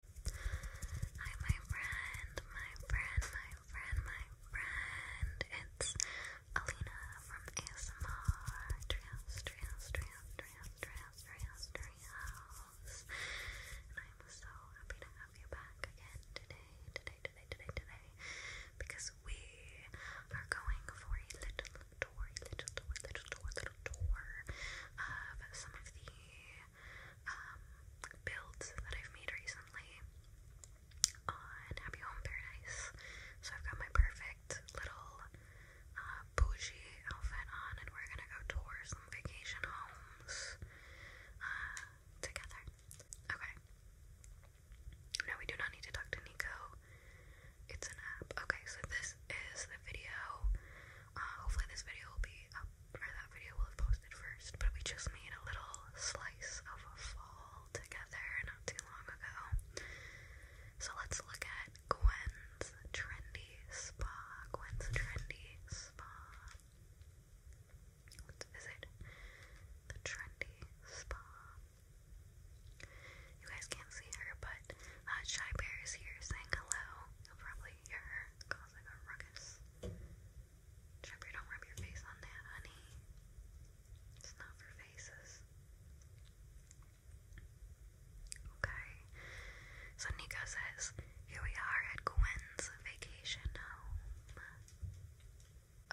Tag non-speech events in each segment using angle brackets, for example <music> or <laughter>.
Hi, my friend, my friend, my friend, my friend. It's Alina from ASMR Treehouse, Treehouse, Treehouse, Treehouse, Treehouse, Treehouse, Treehouse. And I'm so happy to have you back again today, today, today, today, today, because we are going for a little tour, little tour, little tour, little tour of some of the um, builds that I've made recently on Happy Home Paradise. So I've got my perfect little uh, bougie outfit on, and we're gonna go tour some vacation homes uh, together. Okay. No, we do not need to talk to Nico. It's an app. Okay, so this is the video uh, hopefully, this video will be up, or that video will have posted first. But we just made a little slice of a fall together not too long ago. So let's look at Gwen's trendy spa. Gwen's trendy spa. Let's visit the trendy spa. You guys can't see her, but uh, Shy Bear is here saying hello. probably really you're causing ruckus. Trevor, don't rub your face on that, honey. It's not for faces. Okay. So Nico says, here we are at Gwen's vacation home.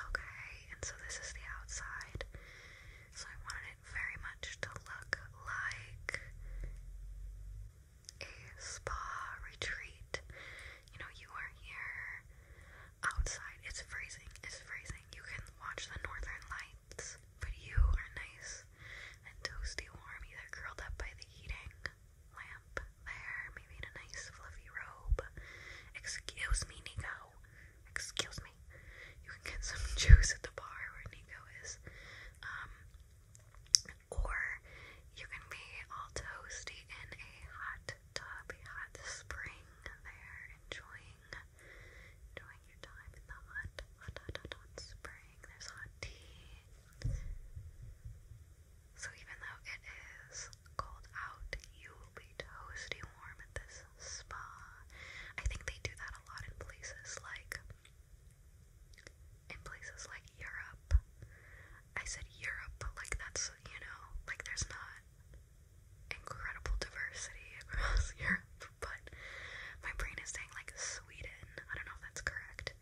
Okay, and so this is the outside. So I wanted it very much to look like a spa retreat. You know, you are here outside. It's freezing. It's freezing. You can watch the northern lights, but you are nice and toasty warm, either curled up by the heating lamp there, maybe a nice fluffy robe. Excuse me, Nico. Excuse me. You can get some <laughs> juice at the bar where Nico is. Um, or you can be all toasty in a hot tub, hot spring there, enjoying enjoying your time in the hot, hot, hot, hot spring. There's hot tea. So even though it is cold out, you will be toasty warm at this spa. I think they do that a lot in places like in places like Europe. I said Europe, but like that's, you know, like there's not incredible diversity <laughs> across Europe, but my brain is saying like Sweden. I don't know if that's correct.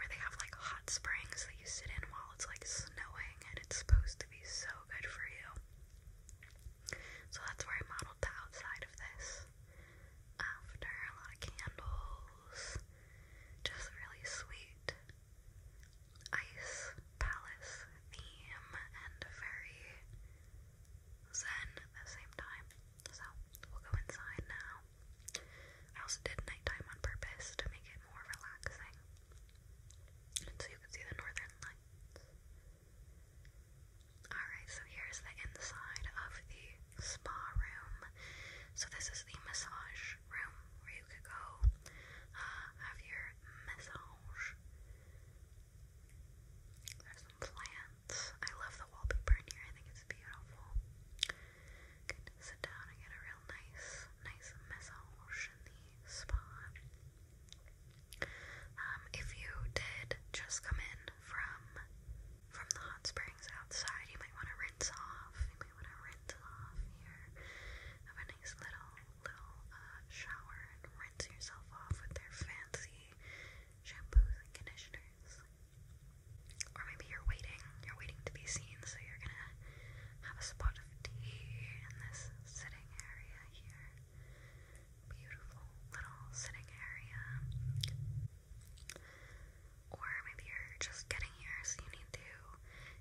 Where they have like hot springs that you sit in while it's like snowing and it's supposed to be so good for you. So that's where I modeled the outside of this after, a lot of candles, just really sweet ice palace theme and very zen at the same time. So we'll go inside now. I also did nighttime on purpose to make it more relaxing. And so you can see the northern lights. Alright, so here's the inside of the spa room. So this is the massage room where you could go uh, have your massage. There's some plants. I love the wallpaper in here. I think it's beautiful. sit down and get a real nice, nice massage in the spa. Um, if you did just come in from from the hot springs outside. You might want to rinse off. You might want to rinse off here. Have a nice little little uh, shower and rinse yourself off with their fancy shampoos and conditioners. Or maybe you're waiting. You're waiting to be seen, so you're gonna have a spot of tea in this sitting area here. Beautiful little sitting area. Or maybe you're just getting here, so you need to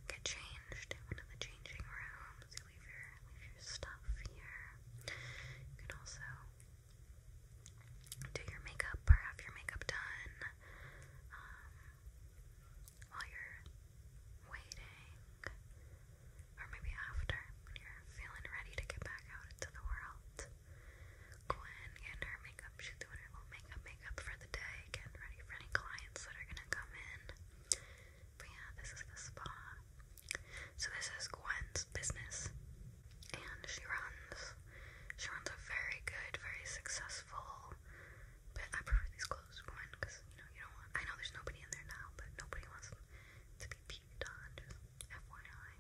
get changed in the changing rooms. You leave your leave your stuff here. You can also do your makeup or have your makeup done um, while you're waiting, or maybe after when you're feeling ready to get back out into the world. Gwen getting her makeup. She's doing her little makeup makeup for the day, getting ready for any clients that are gonna come in. But yeah, this is the spa. So this is Gwen's business. And she runs she runs a very good, very successful but I prefer these clothes Gwen because you know you don't want I know there's nobody in there now, but nobody wants them to be done, FYI.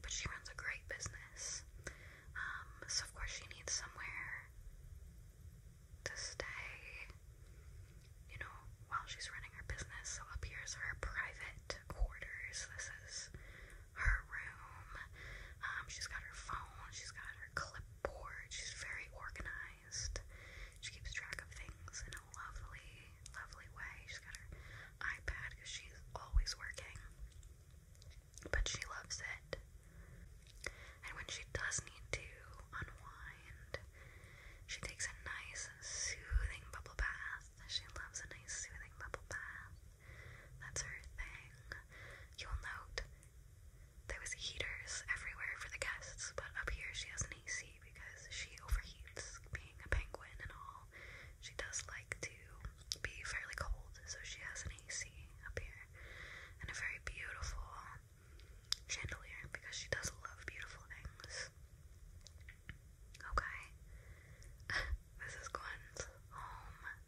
But she runs a great business. Um, so of course she needs somewhere to stay, you know, while she's running her business. So up here is her private quarters. This is her room. Um, she's got her phone, she's got her clipboard, she's very organized. She keeps track of things in a lovely lovely way. She's got her iPad because she's always working, but she loves it. And when she does need to unwind, she takes a nice, soothing bubble bath. She loves a nice, soothing bubble bath. That's her thing. You'll note there was heaters everywhere for the guests, but up here she has an AC because she overheats being a penguin and all. She does like to be fairly cold, so she has an AC up here and a very beautiful chandelier because she does love beautiful things. Okay, <laughs> this is Gwen's home.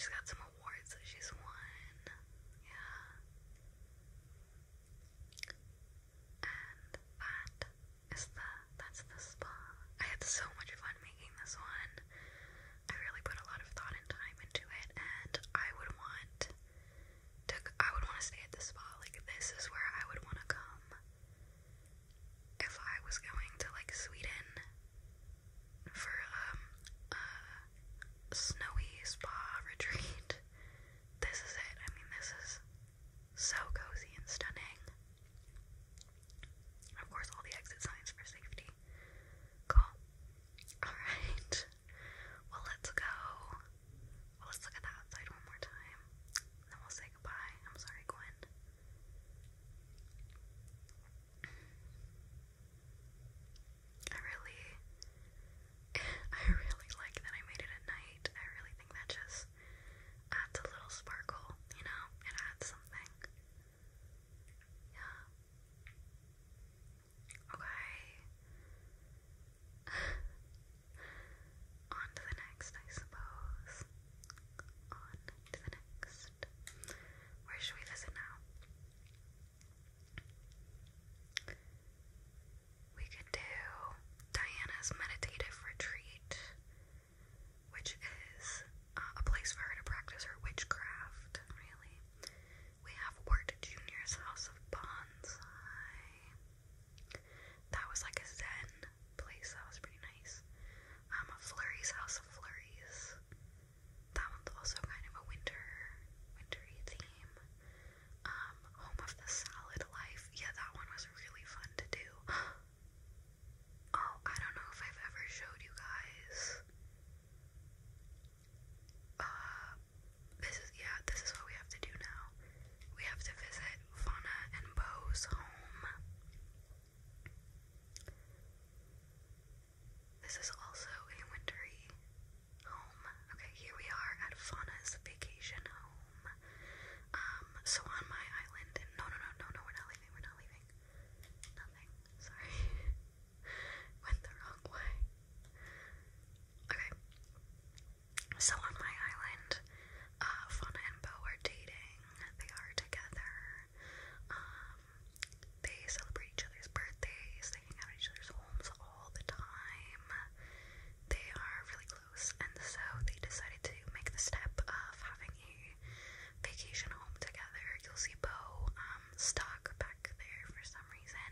She's got some awards that she's won. Yeah. And that is the that's the spa. I had so much fun making this one. I really put a lot of thought and time into it, and I would want to. I would want to stay at the spa. Like this is where I would want to come if I was going to like Sweden for um, a snowy spa <laughs> retreat. This is it. I mean, this is so cozy and stunning. Of course, all the exit signs for safety. Cool. Alright. Well, let's go. let's look at the outside one more time. then we'll say goodbye. I'm sorry, Gwen. I really, <laughs> I really like that I made it at night. I really think that just adds a little sparkle, you know? It adds something. Yeah. Okay. <laughs> On to the next, I suppose. On to the next. Where should we visit now? We could do Diana's meditative retreat which is uh, a place for her to practice her witchcraft, really. We have Wirt Jr.'s House of Bonsai. That was like a zen place, that was pretty nice. Um, Flurry's House of Flurries. That one's also kind of a winter, wintery theme. Um, Home of the Salad Life. Yeah, that one was really fun to do. <gasps> Oh, I don't know if I've ever showed you guys. Uh, this is, yeah, this is what we have to do now. We have to visit Fauna and Bo's home. This is also a wintry home. Okay, here we are at Fauna's vacation home. Um, so on my island, no, no, no, no, no, we're not leaving, we're not leaving. Nothing, sorry. <laughs> Went the wrong way. Okay. So on my island, uh, Fauna and Bo are dating. They are together. Um, they celebrate each other's birthdays. They hang out at each other's homes all the time. They are really and so they decided to make the step of having a vacation home together. You'll see Bo um, stuck back there for some reason,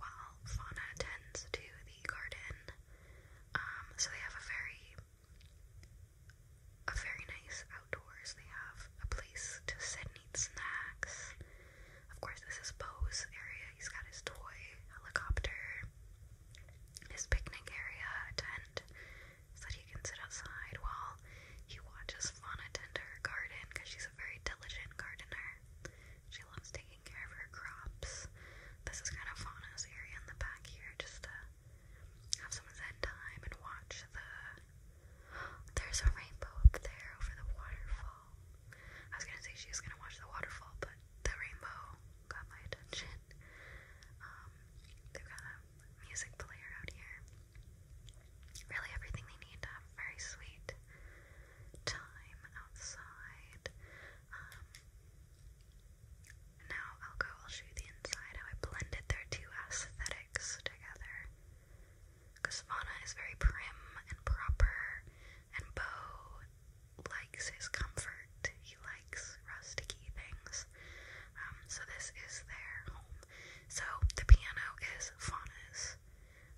while Fauna tends to the garden. Um, so they have a very, a very nice outdoors. They have a place to sit and eat snacks. Of course, this is Bo's area. He's got his toy helicopter his picnic area tent so that he can sit outside while he watches Fauna tend her garden because she's a very diligent gardener. She loves taking care of her crops. This is kind of Fauna's area in the back here just to have some zen time and watch the. There's a rainbow up there over the waterfall. I was gonna say she was gonna watch the waterfall, but the rainbow got my attention. Um, they've got a music player out here. Really, everything they need um, very sweet time outside. Um, now I'll go, I'll show you the inside, how I blended their two aesthetics together. Because is very prim and proper and bow likes his comfort. He likes rustic things. Um, so this is their home. So the piano is Fauna's.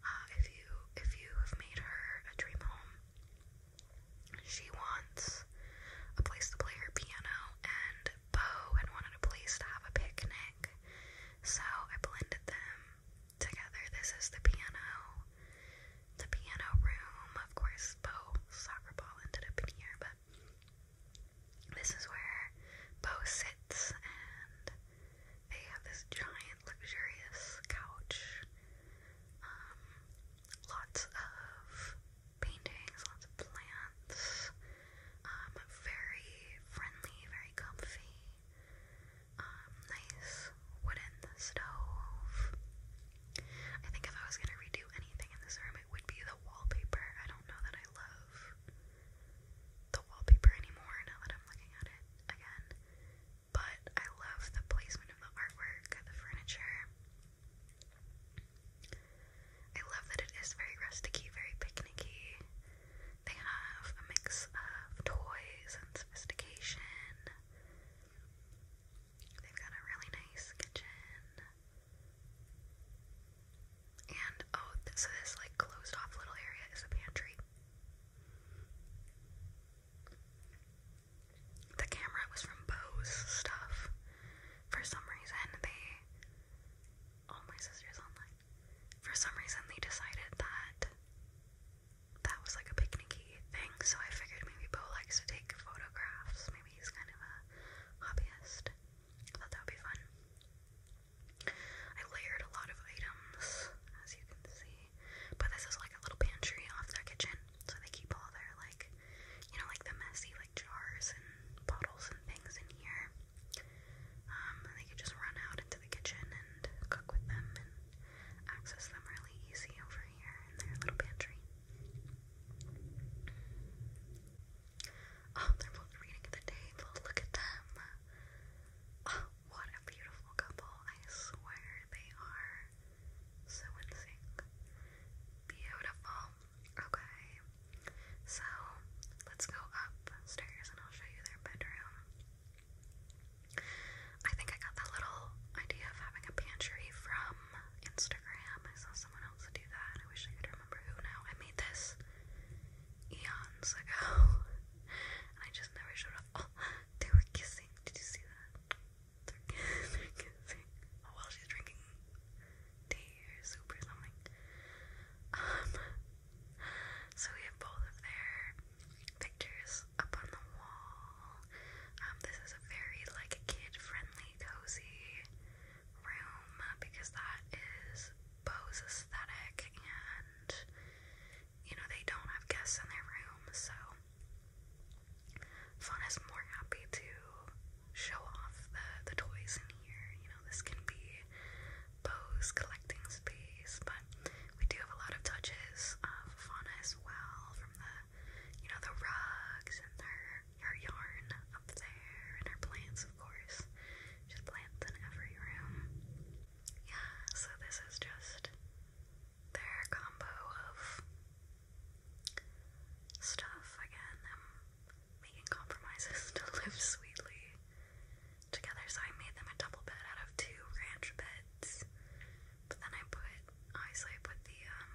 Uh, if you if you have made her a dream home, she wants a place to play her piano, and Bo had wanted a place to have a picnic. So I blended them together. This is the piano the piano room. Of course, Bo soccer ball ended up in here, but this is where Bo sits, and they have this giant, luxurious couch. Um, lots of paintings, lots of plants. Um, very friendly, very comfy. Um, nice wooden stove. I think if I was gonna redo anything in this room, it would be the wallpaper. I don't know that I love the wallpaper anymore now that I'm looking at it again, but I love the placement of the artwork, the furniture. I love that it is very rusticy, very picnicky. They have a mix of toys and sophistication. They've got a really nice kitchen. And oh, so this like closed off little area is a pantry. The camera was from Bose stuff. For some reason, they. Oh, my sister's online. For some reason, they decided that that was like a picnicky thing, so I figured maybe Bo likes to take photographs. Maybe he's kind of a hobbyist. I thought that would be fun. I layered a lot of items, as you can see. But this is like a little pantry off their kitchen, so they keep all their like, you know, like the messy like jars and bottles and things in here. Um, and they can just run out into the kitchen and cook with them and access them really easy over Oh, they're both reading at the table. Look at them. Oh, what a beautiful couple. I swear they are so in sync. Beautiful. Okay. So, let's go upstairs and I'll show you their bedroom. I think I got that little idea of having a pantry from Instagram. I saw someone else do that. I wish I could remember who now. I made this eons ago. <laughs> I just never showed up. Oh, <laughs> they were kissing. Did you see that? They're, <laughs> kissing. Oh, well, she's drinking tea or something. Um, so we have both of their pictures this up on the wall. Um, this is a very like kid-friendly, cozy room because that is Bose aesthetic, and you know they don't have guests in their room, so Fawn is more happy to show off the the toys in here. You know this can be Bose collecting space, but we do have a lot of touches of Fauna as well you know, the rugs and her her yarn up there and her plants, of course. Just plants in every room. Yeah, so this is just their combo of stuff. Again, i making compromises <laughs> to live sweetly together. So I made them a double bed out of two ranch beds. But then I put, obviously I put the, um,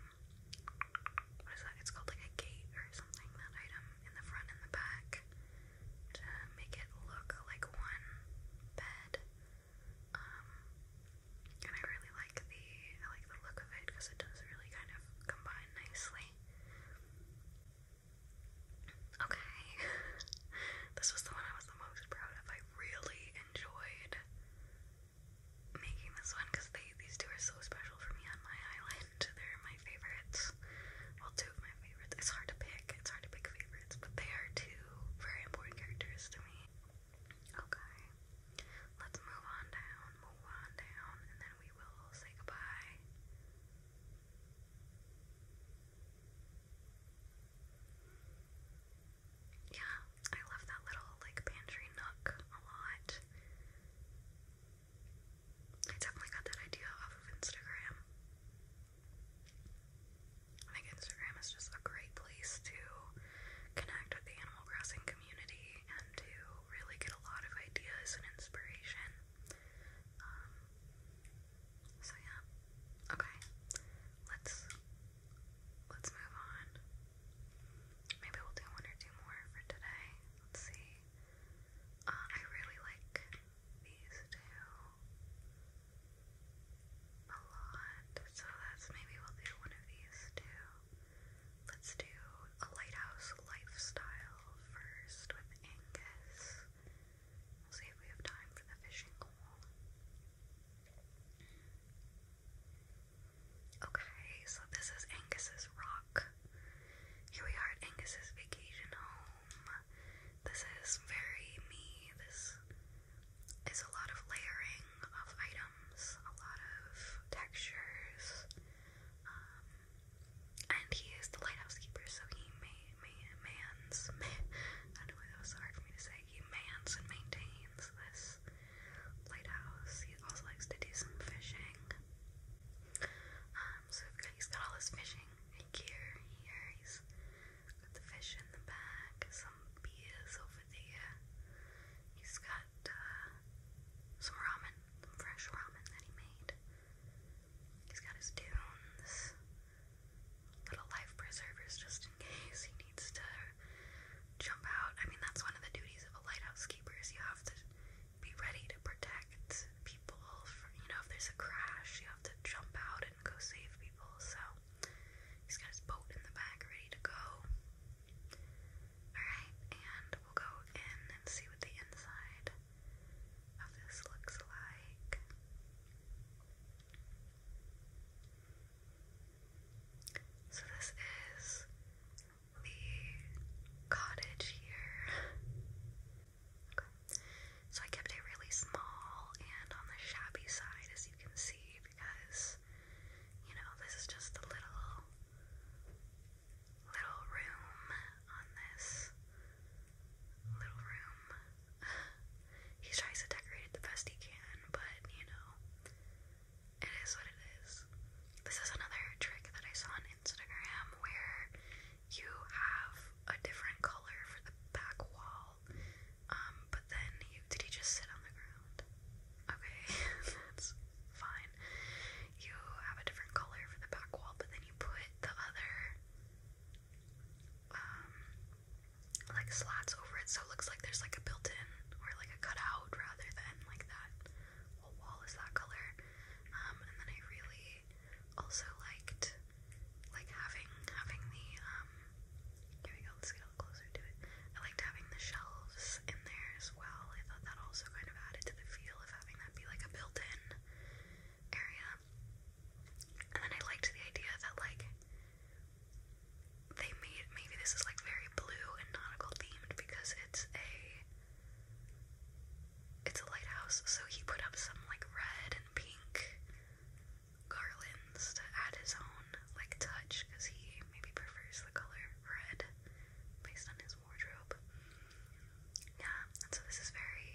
what is that? It's called like a gate or something, that item in the front and the back to make it look like one bed. Um, and I really like the, I like the look of it because it does really kind of combine nicely. Okay, <laughs> this was the one I was the most proud of really enjoyed making this one because these two are so special for me on my island. They're my favorites. Well, two of my favorites. It's hard to pick. It's hard to pick favorites, but they are two very important characters to me. Okay, let's move on down, move on down, and then we will say goodbye yeah, I love that little like pantry nook a lot. I definitely got that idea of Instagram. I think Instagram is just a great place to connect with the Animal Crossing community and to really get a lot of ideas and inspiration. Um, so yeah. Okay. Let's let's move on. Maybe we'll do one or two more for today. Let's see. Uh, I really like these two a lot, so that's maybe we'll do one of these two. Let's do a lighthouse lifestyle first with Angus. We'll see if we have time for the fishing hole. Okay, so this is Angus's Rock. Here we are at Angus's vacation home. This is very me. This is a lot of layering of items, a lot of textures. Um, and he is the lighthouse keeper, so he may, may, mans, <laughs> I don't know why that was so hard for me to say he mans and maintains this lighthouse. He also likes to do some fishing. Um, so he's got all his fishing gear here. He's got the fish in the back, some beers over there. He's got uh, some ramen, some fresh ramen that he made. He's got his dunes, little life preservers just in case he needs to jump out. I mean, that's one of the duties of a lighthouse keeper is you have to be ready to protect people. From, you know, if there's a crash, you have to jump out and go save people. So he's got his boat in the back ready to go. Alright, and we'll go in and see what the inside of this looks like. So, this is the cottage here. So, I kept it really small and on the shabby side, as you can see, because you know, this is just a little, little room on this little room <sighs> he tries to decorate it the best he can, but you know, it is what it is. This is another trick that I saw on Instagram where you have a different color for the back wall, um, but then you did he just sit on the ground? Okay, <laughs> that's fine. You have a different color for the back wall, but then you put the other um like slats over it so it looks like there's like a built-in or like a cutout rather than like that whole wall is that color um and then I really also liked like having having the um here we go let's get a little closer to it I liked having the shelves in there as well I thought that also kind of added to the feel of having that be like a built-in area. And then I liked the idea that like they made maybe this is like very blue and nautical themed because it's a it's a lighthouse, so he put up some like red and pink garlands to add his own like touch because he maybe prefers the color red based on his wardrobe. Yeah, so this is very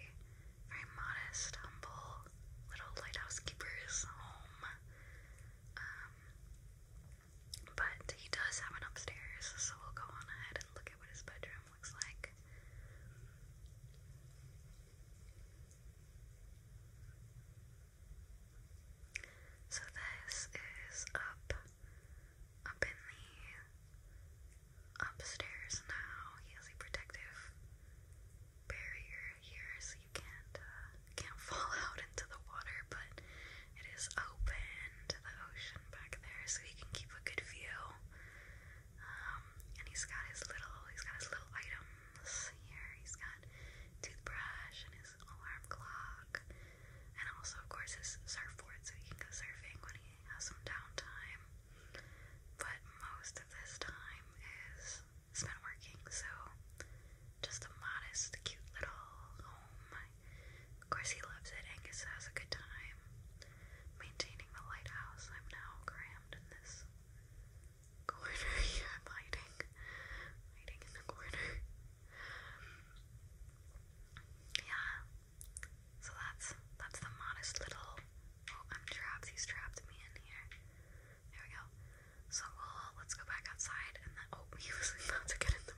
very modest, humble little lighthouse keeper's home. Um, but he does have an upstairs, so we'll go on ahead and look at what his bedroom looks like. So this is up up in the upstairs now. He has protective barrier here so you can't uh, can't fall <laughs> out into the water, but it is open to the ocean back there, so he can keep a good view. Um, and he's got his little he's got his little items here. He's got toothbrush and his alarm clock, and also of course his surfboard, so he can go surfing when he has some downtime. But most of this time is spent working, so just a modest, cute little home. Of course, he loves it. Angus has a good time maintaining the lighthouse. I'm now crammed in this corner. <laughs> yeah, I'm hiding. Hiding in the corner. Yeah. So that's that's the modest little Oh, I'm trapped. He's trapped me in here. There we go. So let's go back outside and oh <laughs> he was about to get in the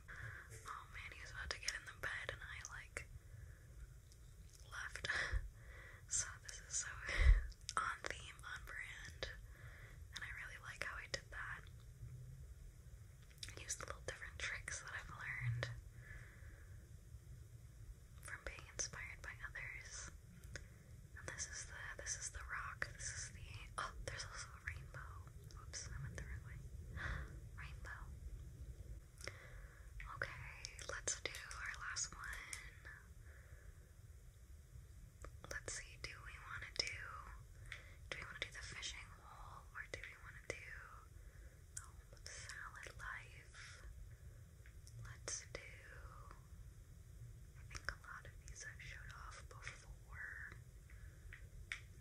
Oh man, he was about to get in the bed and I like left. <laughs> so this is so <laughs> on theme, on brand. And I really like how I did that. Used the little different tricks that I've learned from being inspired by others. And this is the this is the rock. This is the oh, there's also a rainbow. Oops, I went the wrong way. <gasps> Rainbow. Okay, let's do our last one. Let's see, do we wanna do do we wanna do the fishing hole or do we wanna do oh, the salad life? Let's do. I think a lot of these I've showed off before.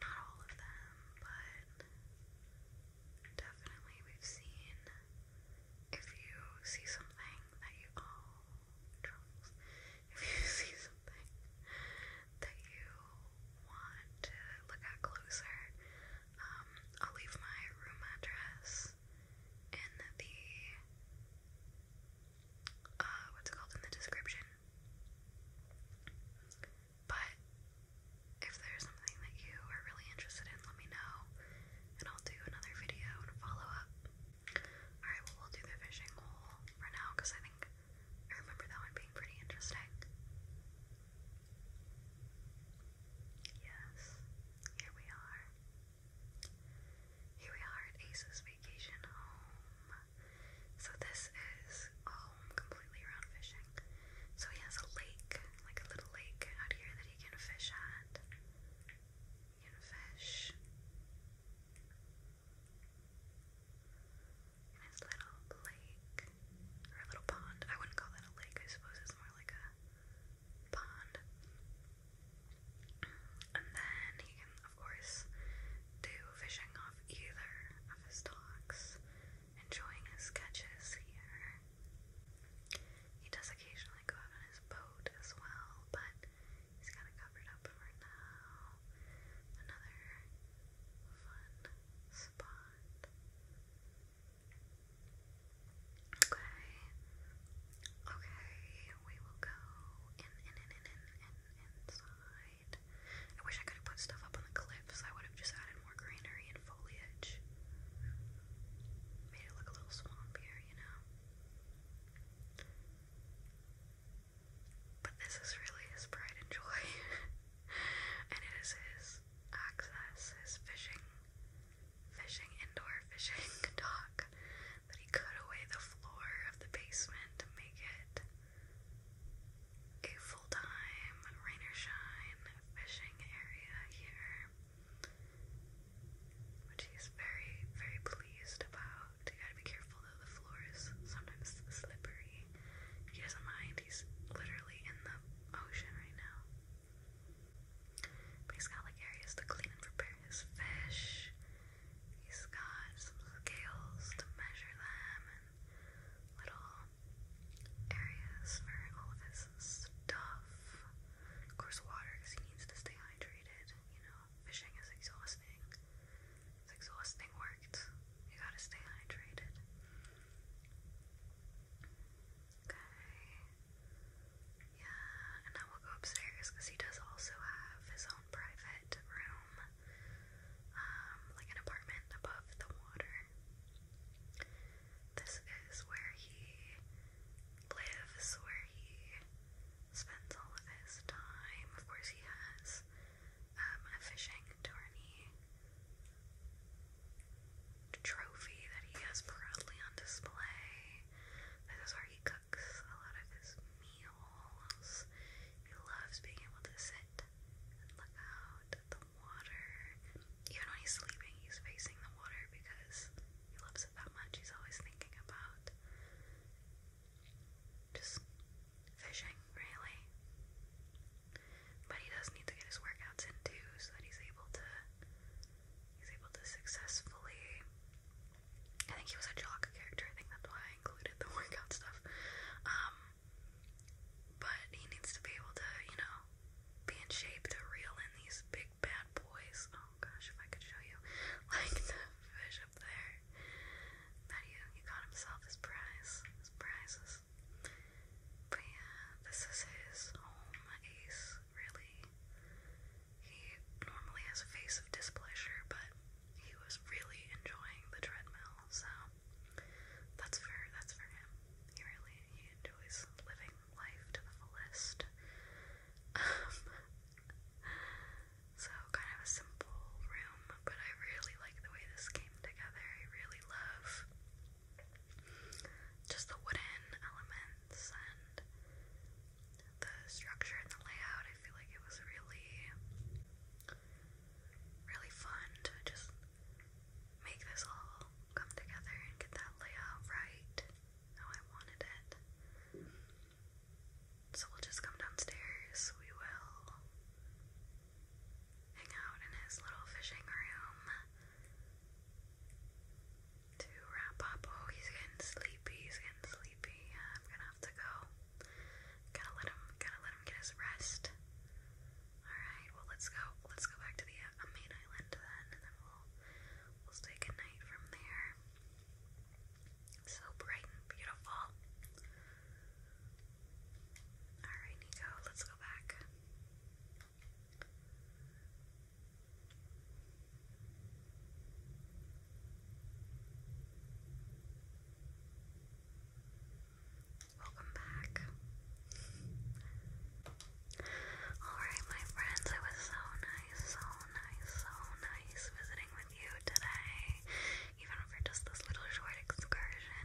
Not all of them, but definitely we've seen. If you see something that you oh Charles, if you <laughs> see something that you want to look at closer, um, I'll leave my room address in the uh what's called in the description. But if there's something that you are really interested in, let me know and I'll do another video and follow up. Alright, we'll do the fishing hole for now because I think I remember that one being pretty interesting. Yes, here we are. Here we are at Ace's vacation home. So this is a home completely around fishing. So he has a lake, like a little lake out here that he can fish at. He can fish. In his little lake. Or little pond. I wouldn't call that a lake, I suppose it's more like a pond. And then he can, of course, do fishing off either of his docks, enjoying his catches here. He does occasionally go out on his boat as well, but he's got covered up for now. Another fun spot. Okay. Okay, we will go in, in, in, in, in, in, inside. I wish I could have put stuff up on the cliffs. I would have just added more greenery and foliage. Made it look a little swampier, you know? But this is really his pride and joy. <laughs> and it is his access, his fishing fishing, indoor fishing dock, That he cut away the floor of the basement to make it a full time rain or shine fishing area here, which he's very, very pleased about. You gotta be careful though, the floor is sometimes slippery. He doesn't mind, he's literally in the ocean right now he's got like areas to clean and prepare his fish. He's got some scales to measure them and little areas for all of his stuff. Of course, water because he needs to stay hydrated. You know, fishing is exhausting. It's exhausting work. You gotta stay hydrated. Okay. Yeah, and I will go upstairs because he does also have his own private room, um, like an apartment above the water. This is where he lives, where he spends all of his time. Of course, he has um, a fishing tourney trophy that he has proudly on display. This is where he cooks a lot of his meals. He loves being able to sit and look out at the water. Even when he's sleeping, he's facing the water because he loves it that much. He's always thinking about just fishing, really but he does need to get his workouts in too, so that he's able to he's able to successfully. I think he was a jock character. I think that's why I included the <laughs> workout stuff. Um, but he needs to be able to, you know, be in shape to reel in these big bad boys. Oh gosh, if I could show you, <laughs> like the fish up there. That he, he got himself his prize. His prize is but yeah, this is his home ace, really. He normally has a face of displeasure, but he was really enjoying the treadmill, so that's fair. that's fair. He really he enjoys living life to the fullest. Um, so kind of a simple room, but I really like the way this came together. I really love just the wooden elements and the structure and the layout. I feel like it was really, really fun to just make this all come together and get that layout right how I wanted it. So we'll just come downstairs. We will hang out in his little fishing room to wrap up. Oh, he's getting sleepy. He's getting sleepy. I'm gonna have to go. Gotta let him. Gotta let him get his rest. All right. Well, let's go. Let's go back to the uh, main island then, and then we'll we'll stay good from there. So bright and beautiful. All right, Nico. Let's go back. Welcome back. Alright, my friends, it was so nice, so nice, so nice visiting with you today, even for just this little short excursion.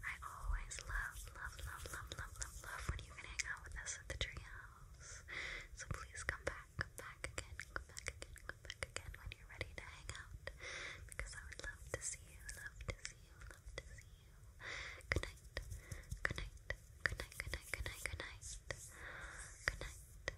I always love, love, love, love, love, love, love when you can hang out with us at the treehouse. So please come back, come back again, come back again, come back again when you're ready to hang out. Because I would love to see you, love to see you, love to see you. Good night, good night, good night, good night, good night, good night, good night. Good night.